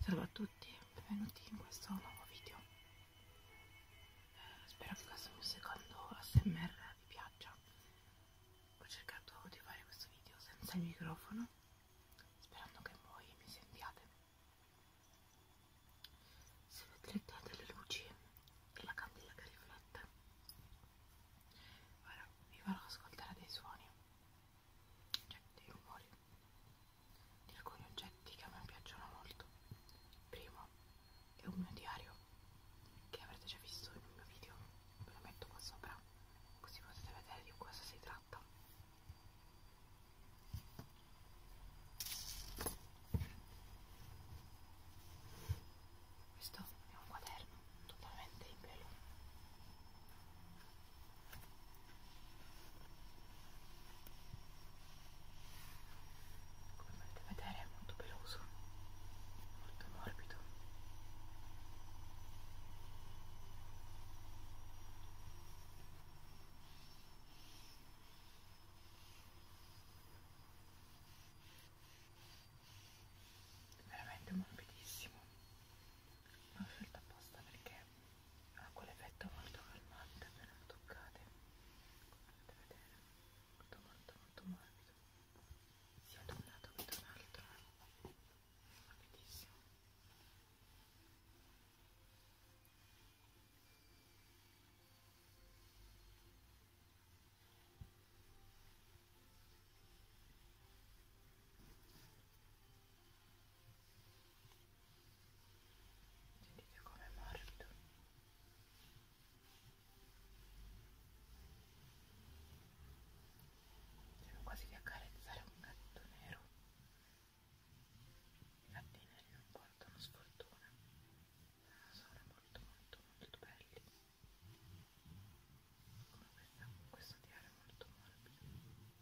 Salve a tutti, benvenuti in questo nuovo video. Eh, spero che questo mio secondo ASMR vi piaccia. Ho cercato di fare questo video senza il microfono, sperando che voi mi sentiate. Se vedrete delle luci per la candela che riflette, ora vi farò ascoltare dei suoni cioè dei rumori di alcuni oggetti che a me piacciono molto il primo è un mio diario che avrete già visto in un mio video ve lo metto qua sopra così potete vedere di cosa si tratta questo è un quaderno totalmente in pelo come potete vedere è molto peloso molto morbido veramente morbidissimo l'ho scelto apposta perché ha ah, quell'effetto molto calmante appena lo toccate come potete vedere molto molto molto morbido sia da un lato che dall'altro morbidissimo Ecco Sentite com'è morbido. Sembra quasi di accarezzare un gatto nero. I gatti neri non portano sfortuna, ma ah, sono molto molto molto belli. Come questa, questo diario è molto morbido.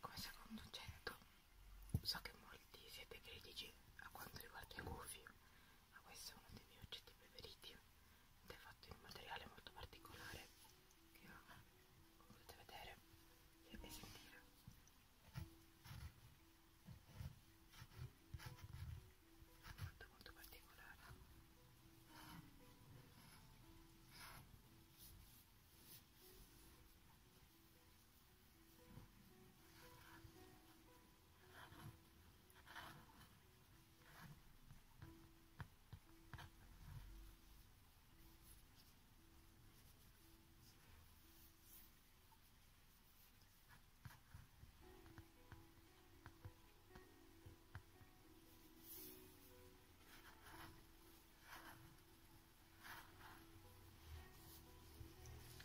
Come secondo oggetto, so che molti siete critici a quanto riguarda i gufi, ma questo è uno dei miei oggetti preferiti ed è fatto in un materiale molto particolare che potete vedere e cioè, sentire molto molto particolare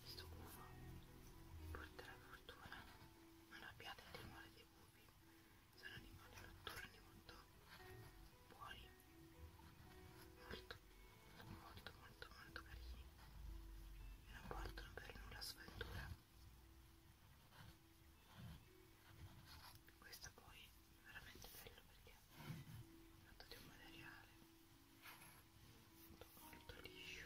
questo uovo porterà fortuna, non abbiate timore dei bubi sono animali notturni molto buoni molto molto molto molto carini e non portano per nulla sventura questo poi è veramente bello perché è fatto di un materiale molto, molto liscio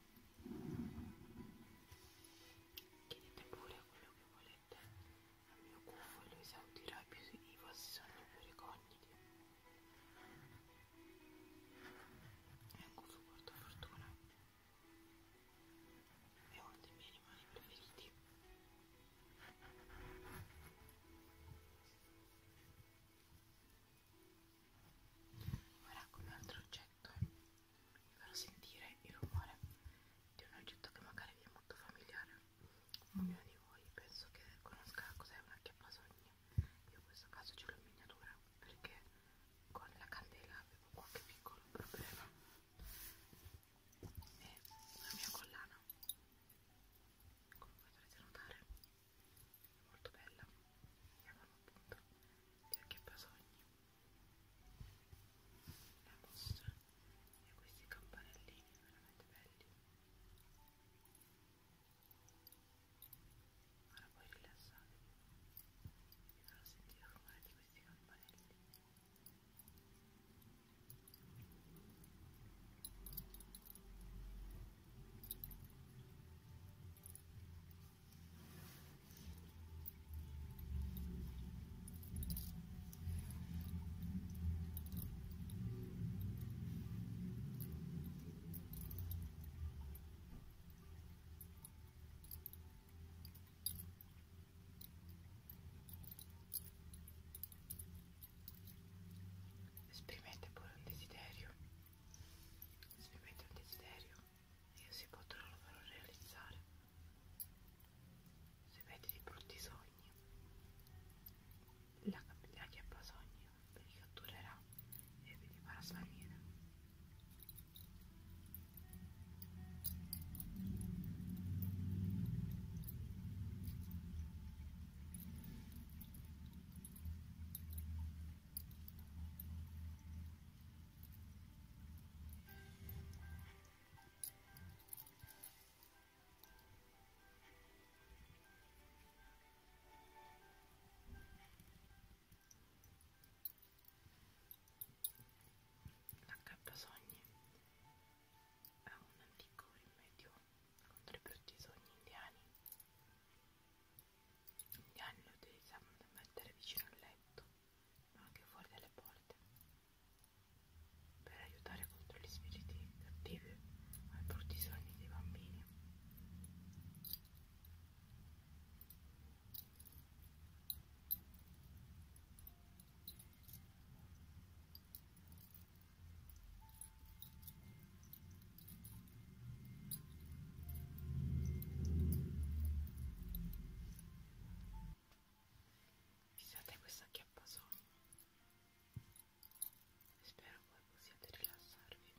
Chiedete pure quello che volete, al mio cuffo lo esaudirà più i vostri sogni più ricogniti. È un cuffo portafortuna. È uno dei miei animali preferiti. Ora con un altro oggetto vi farò sentire il rumore di un oggetto che magari vi è molto familiare ognuno di voi penso che conosca cos'è una chiappasogna io in questo caso ce l'ho in miniatura perché con la candela avevo qualche piccolo problema e la mia collana come potrete notare è molto bella chiamano appunto di occhiappasogni la mostra e questi campanellini veramente belli ora poi rilassatevi vi farò sentire il rumore di questi campanelli Esprimete pure un desiderio. Esprimete un desiderio io si potrò farò realizzare se vedi dei brutti sogni la capirà che ha sogni vi catturerà e vi farà svanire L'H sogni è un antico rimedio contro i brutti sogni indiani gli anni lo utilizzavano da mettere vicino al letto, ma anche fuori dalle porte, per aiutare contro gli spiriti cattivi ai brutti sogni dei bambini. Fissate questa chiappasone spero voi possiate rilassarvi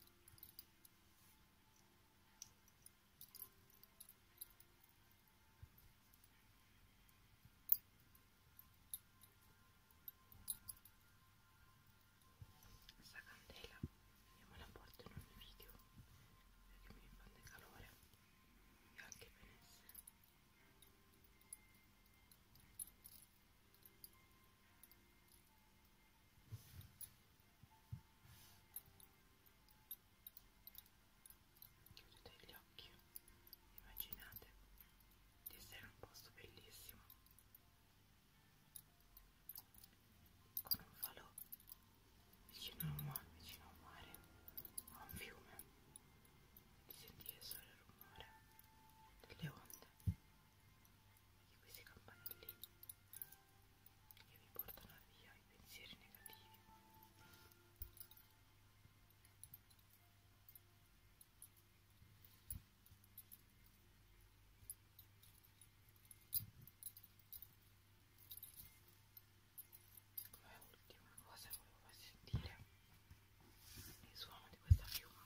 questa candela io me la porto in ogni video perché mi ripande calore e anche benessere chiudete gli occhi immaginate di essere in un posto bellissimo con un falò vicino al mare, vicino al mare, a un fiume, di sentire solo il rumore delle onde di questi campanellini che vi portano via i pensieri negativi come ultima cosa volevo farvi sentire il suono di questa piuma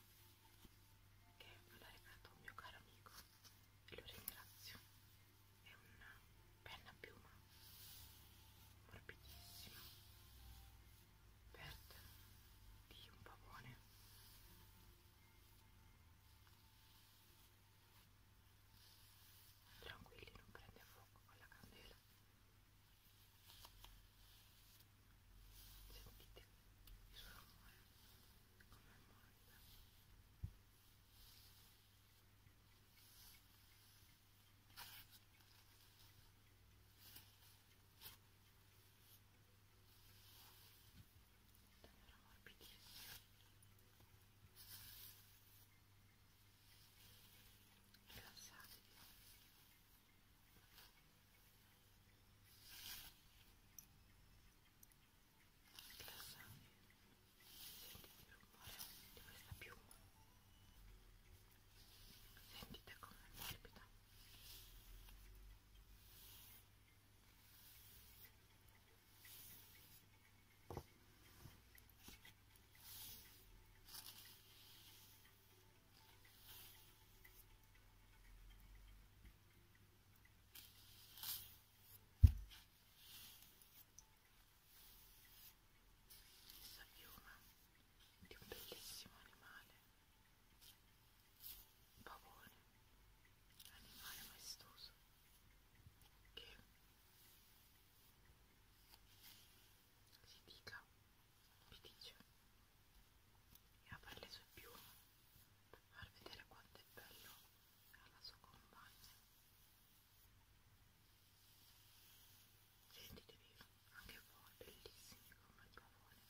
che me l'ha regalato un mio caro amico e lo ringrazio è una penna piuma morbidissima aperta di un pavone tranquilli non prende fuoco con la candela sentite il suo rumore come molla Davvero morbidissimo. Rilassatevi. Rilassatevi. Sentite il rumore di questa piuma. Sentite come è morbida. Questa piuma di un bellissimo animale, un pavone animale maestoso che si dica piticcio e apre le sue piume per far vedere quanto è bello alla sua compagna sentitevi anche voi bellissimi come il pavone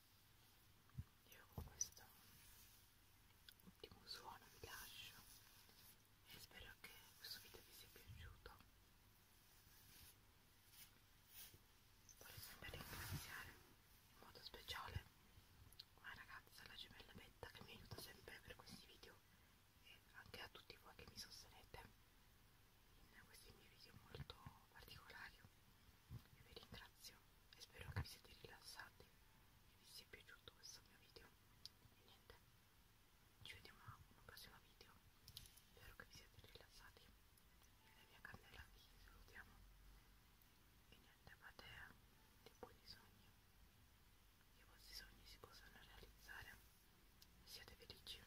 io con questo ultimo suono vi lascio e spero che questo video vi sia piaciuto vorrei sempre ringraziare in modo speciale una ragazza la gemella Betta che mi aiuta sempre per questi video e anche a tutti voi che mi sostenete in questi miei video molto particolari. Io vi ringrazio e spero che vi siete rilassati e vi sia piaciuto questo mio video. E niente, ci vediamo a un prossimo video. Spero che vi siate rilassati. E via candela vi salutiamo. E niente, fate dei buoni sogni. Che i vostri sogni si possano realizzare. Siate felici.